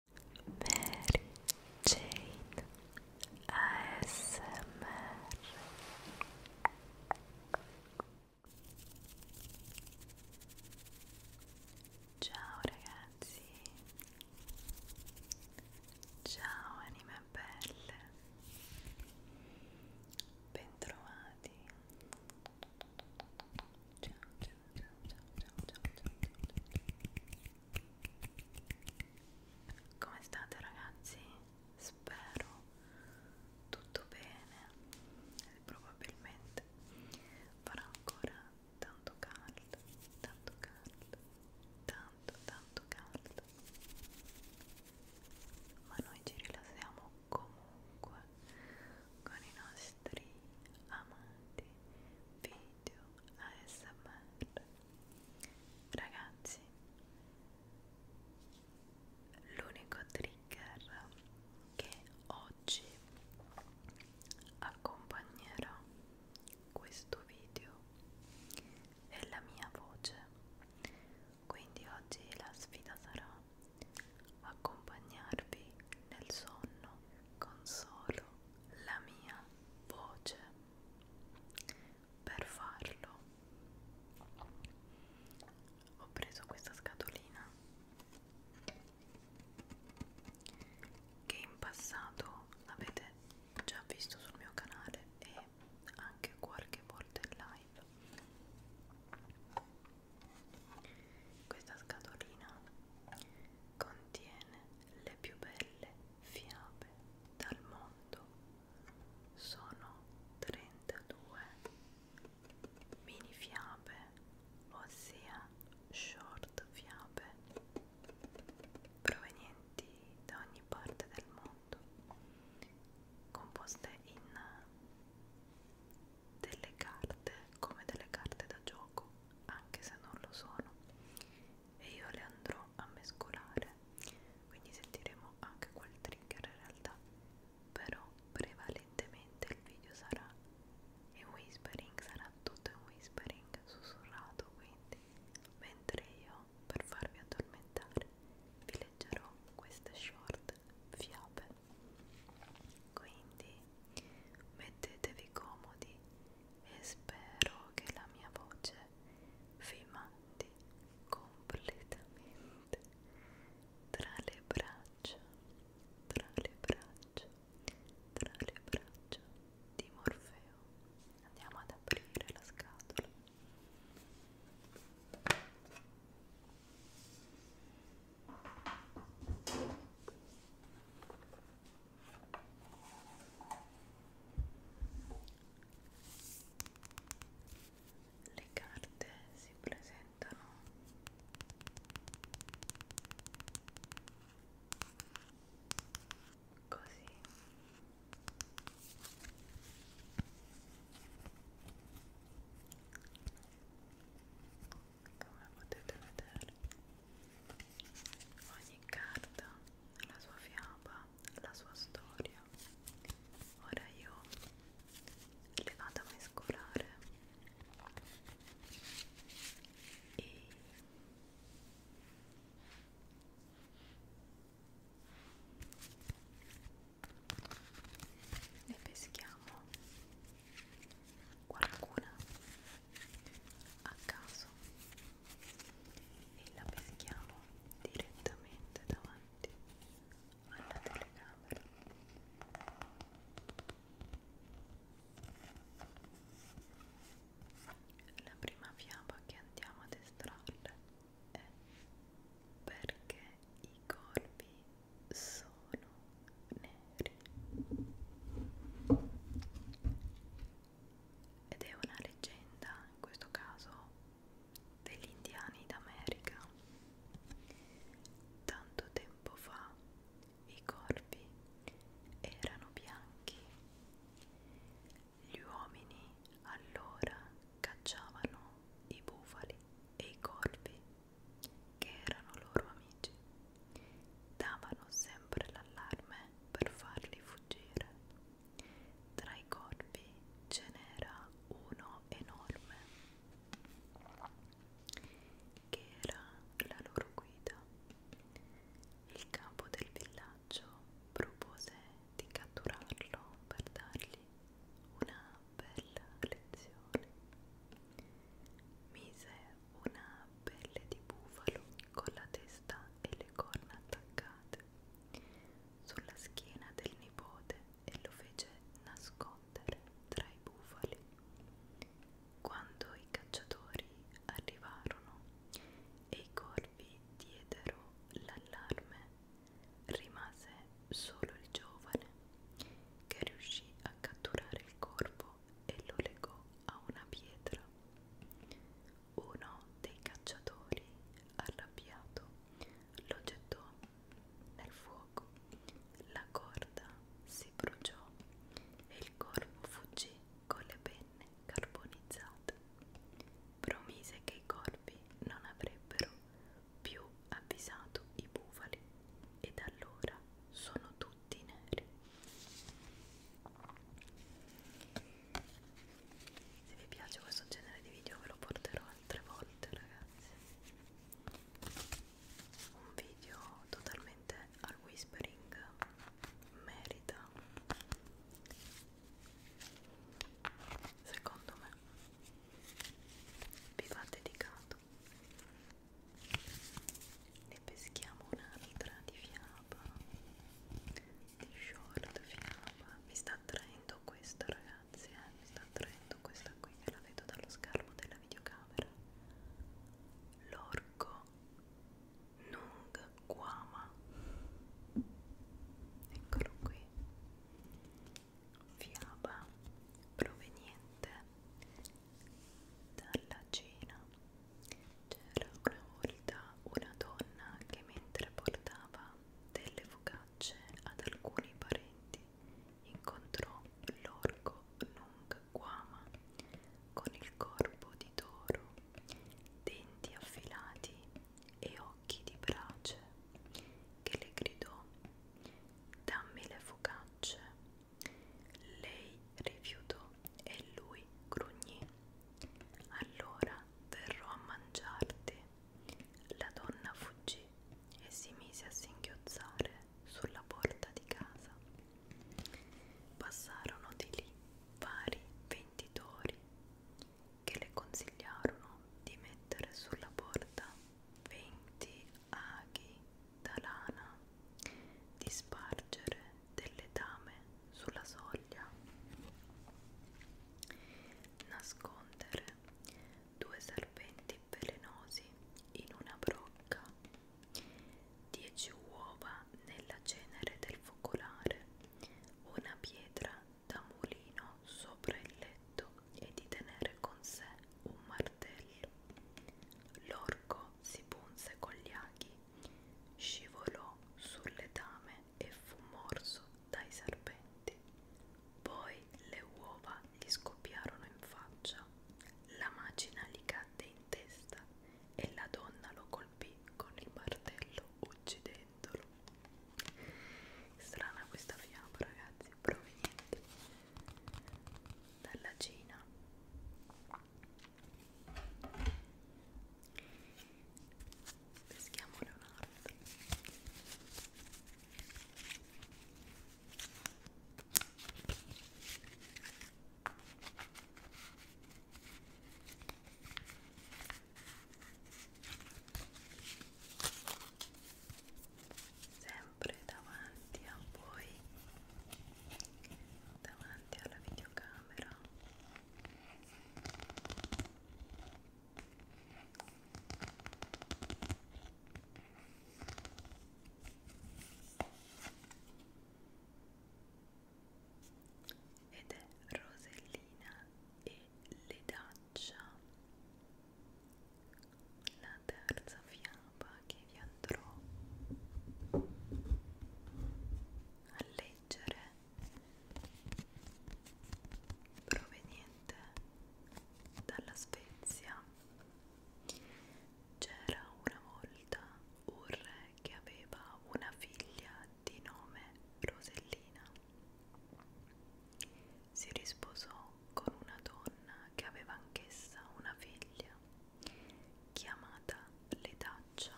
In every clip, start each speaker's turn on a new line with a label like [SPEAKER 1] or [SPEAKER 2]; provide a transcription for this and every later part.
[SPEAKER 1] Mary Jane ASMR Ciao ragazzi Ciao anime belle Bentrovati Ciao ciao ciao, ciao, ciao, ciao. Come state ragazzi? Spero tutto bene e probabilmente farà ancora tanto caldo, tanto caldo, tanto tanto caldo. Ma noi ci rilassiamo comunque con i nostri nostri amati video ASMR ragazzi l'unico trigger che oggi accompagnerà questo video è la mia voce quindi oggi la sfida sarà accompagnarvi nel sonno con solo la mia voce. Per farlo ho preso questa scatolina che in passato avete già visto sul mio canale e anche qualche volta in live questa scatolina Contiene le più belle fiabe dal mondo. Sono 32 mini fiabe, ossia short fiabe, provenienti da ogni parte del mondo, composte in delle carte come delle carte da gioco, anche se non lo sono, e io le andrò a mescolare, quindi sentiremo anche quel trigger in realtà, però prevalentemente il video sarà in whispering, sarà tutto in whispering, sussurrato, quindi mentre io per farvi addormentare vi leggerò queste short fiabe quindi mettetevi comodi e spero che la mia voce vi mandi completamente tra le braccia, tra le braccia, tra le braccia di Morfeo. Andiamo ad aprire la scatola. Le carte si presentano così come potete vedere ogni carta ha la sua fiaba la sua storia ora io le vado a mescolare e le peschiamo qualcuna a caso e la peschiamo direttamente davanti alla telecamera la prima fiaba che andiamo ad estrarre è perché i corpi sono neri ed è una leggenda in questo caso degli indiani d'America tanto tempo fa i corpi erano bianchi gli uomini allora cacciavano i bufali e i corvi che erano loro amici, davano sempre l'allarme per farli fuggire. Tra i corpi ce n'era uno enorme, che era la loro guida. Il capo del villaggio propose di catturarlo per dargli una bella lezione. Mise una pelle di bufalo con la testa e le corna attaccate sulla schiena del nipote e lo fece nascondere tra i bufali. Quando i cacciatori arrivarono e i corvi diedero l'allarme, rimase solo il giovane che riuscì a catturare il corpo e lo legò a una pietra. Uno dei cacciatori, arrabbiato, lo gettò nel fuoco. La corda si bruciò e il corpo fuggì con le penne carbonizzate. Promise che i corpi non avrebbero più avvisato i bufali e da allora sono tutti neri. Se vi piace questo genere di video ve lo porterò altre volte ragazzi. Un video totalmente al whispering merita secondo me vi va dedicato ne peschiamo un'anitra di fiaba di short fiaba mi sta attraendo questa ragazzi eh? mi sta attraendo questa qui che la vedo dallo schermo della videocamera l'orco nung guama eccolo qui fiaba proveniente dalla Cina. C'era una volta una donna che mentre portava delle focacce ad alcuni parenti incontrò l'orco Nung Guama con il corpo di toro, denti affilati e occhi di brace che le gridò dammi le focacce. Lei rifiutò e lui grugnì. Allora verrò a mangiarti. La donna fuggì e si mise a singhiozzare sulla porta di casa. Passarono di lì vari venditori che le consigliarono di mettere sulla porta 20 aghi d'alana di spargere delle dame sulla soglia nascondere due serpenti velenosi in una brocca dieci uova nella cenere del focolare una pietra da mulino sopra il letto e di tenere con sé un martello. L'orco si punse con gli aghi, scivolò sul letame e fu morso dai serpenti. Poi le uova gli scoppiarono in faccia, la macina gli cadde in testa e la donna lo colpì con il martello uccidendolo. Strana questa fiaba, ragazzi, proveniente dalla Cina peschiamo Leonardo sembra sempre davanti a voi davanti alla videocamera ed è Rosellina e le daccia la terza fiaba che vi andrò a leggere proveniente dalla Svezia c'era una volta un re che aveva una figlia di nome Rosellina si risposò con una donna che aveva anch'essa una figlia, chiamata Letaccia.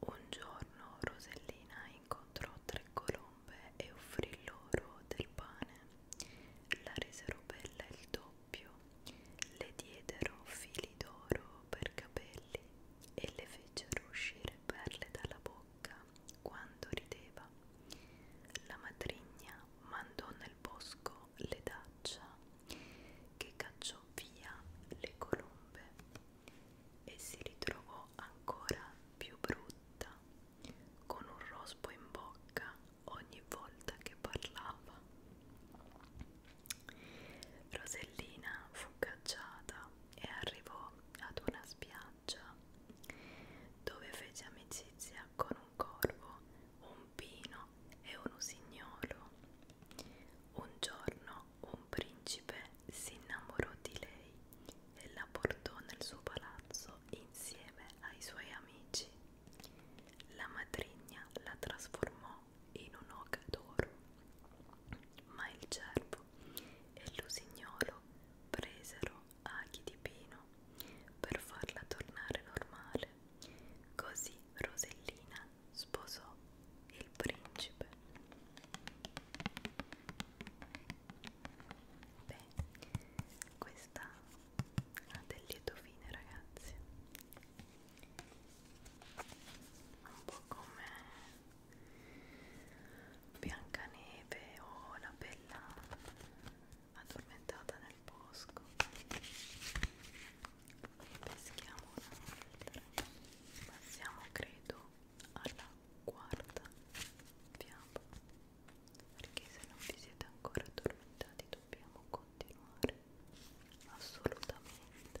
[SPEAKER 1] Un giorno Rosellina incontrò tre colombe e offrì loro del pane. La resero bella il doppio, le diedero fili d'oro per capelli e le fecero uscire perle dalla bocca bocca quando rideva. La matrigna mandò nel bosco le daccia che cacciò via le colombe e si ritrovò ancora più brutta con un rospo in bocca ogni volta che parlava. Rosellina fu cacciata e arrivò ad una spiaggia dove fece amicizia con un corvo, un pino e un usignolo. Un giorno un principe si innamorò di lei e la portò nel suo palazzo insieme ai suoi amici. La matrigna la trasformò in un'oca d'oro, ma il cervo Lupo e l'usignolo presero aghi di pino per farla tornare normale. Così Rosellina sposò il principe. Beh, questa ha del lieto fine, ragazzi. Un po' come Biancaneve o oh, la bella addormentata nel bosco ne peschiamo un'altra passiamo credo alla quarta fiaba perché se non vi siete ancora addormentati dobbiamo continuare assolutamente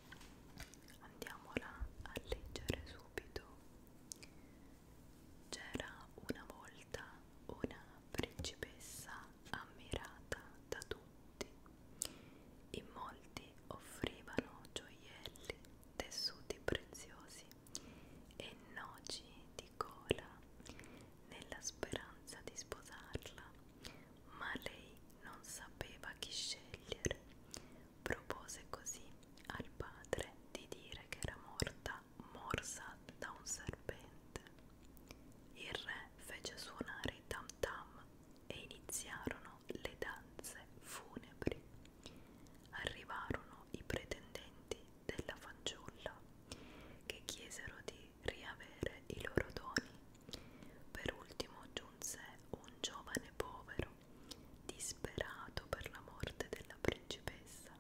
[SPEAKER 1] andiamola a leggere subito c'era una volta una principessa ammirata da tutti in molti offrivano gioielli tessuti preziosi e noci di cola nella speranza di sposarla ma lei non sapeva chi scegliere propose così al padre di dire che era morta morsa da un serpente. Il re fece suonare i tam tam e iniziarono le danze funebri. Arrivarono i pretendenti della fanciulla che chiesero di riavere i loro doni. Per ultimo giunse un giovane povero Disperato per la morte della principessa,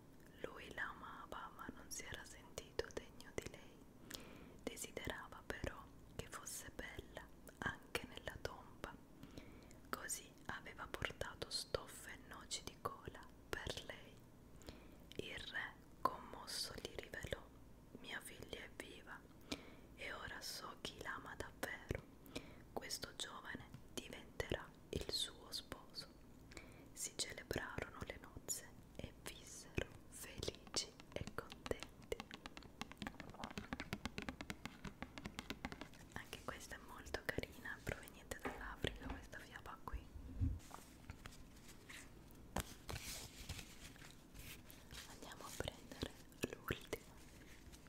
[SPEAKER 1] lui la amava ma non si era sentito degno di lei. Desiderava però che fosse bella anche nella tomba. Così aveva portato stoffe e noci di cola per lei. Il re, commosso, gli rivelò: Mia figlia è viva e ora so chi l'ama davvero. Questo giovane diventerà il suo sposo. Si celebrarono le nozze e vissero felici e contenti. Anche questa è molto carina, proveniente dall'Africa, questa fiaba qui. Andiamo a prendere l'ultima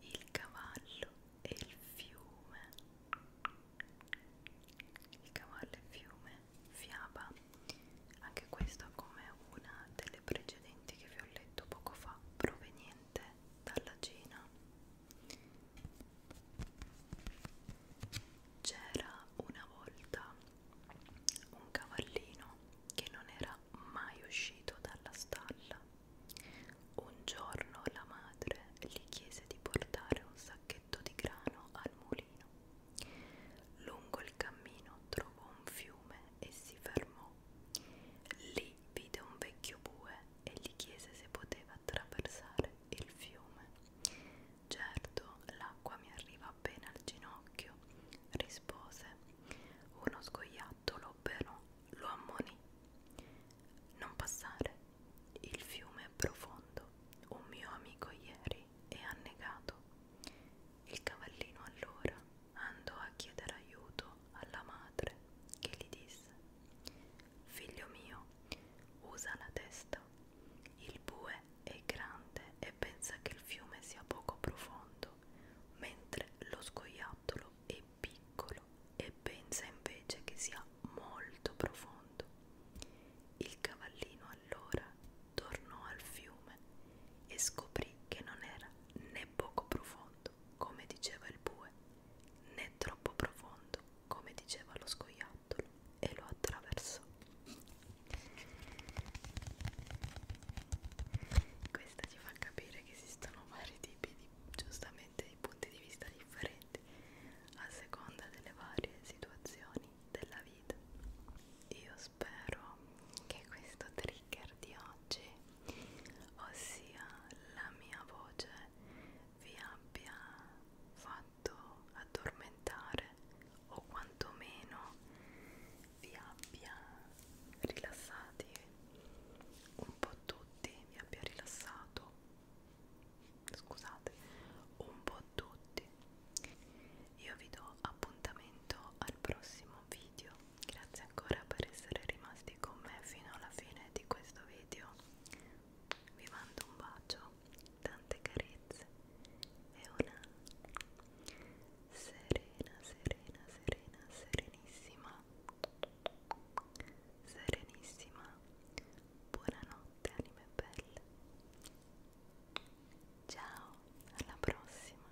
[SPEAKER 1] Il cavallo e il fiume. Il cavallo e il fiume, fiaba. Anche questa come una delle precedenti che vi ho letto poco fa, proveniente proveniente dalla Cina. C'era una volta un cavallino che non era mai uscito dalla stalla. Un giorno la madre gli chiese di portare un sacchetto di grano al mulino. Lungo il cammino trovò un fiume e si fermò. Lì Lì vide un vecchio bue e gli chiese se poteva attraversare il fiume. Certo, l'acqua mi arriva appena al ginocchio, rispose. Uno scoiattolo però lo ammonì. Non passare, il fiume è profondo. Un mio amico ieri è annegato. Il cavallino allora andò a chiedere aiuto alla madre che gli disse Figlio mio, usa la testa. Il bue è grande e pensa che il fiume sia poco profondo, mentre lo scoiattolo è piccolo e pensa invece che sia molto profondo. Il cavallino allora tornò al fiume e scoprì che non era né poco profondo, come diceva il bue, né troppo profondo, come diceva lo scoiattolo, e lo attraversò. Questa ci fa capire che esistono vari tipi di, giustamente, di punti di vista differenti a seconda delle varie situazioni della vita. Io spero che questo trigger di oggi oggi, ossia la mia voce, vi abbia fatto addormentare o quantomeno vi abbia rilassati un po' tutti, vi abbia rilassato, scusate, un po' tutti. Io vi do appuntamento al prossimo video grazie ancora per essere rimasti con me fino alla fine di questo video vi mando un bacio tante carezze e una serena serena serena serenissima serenissima buonanotte anime belle ciao alla prossima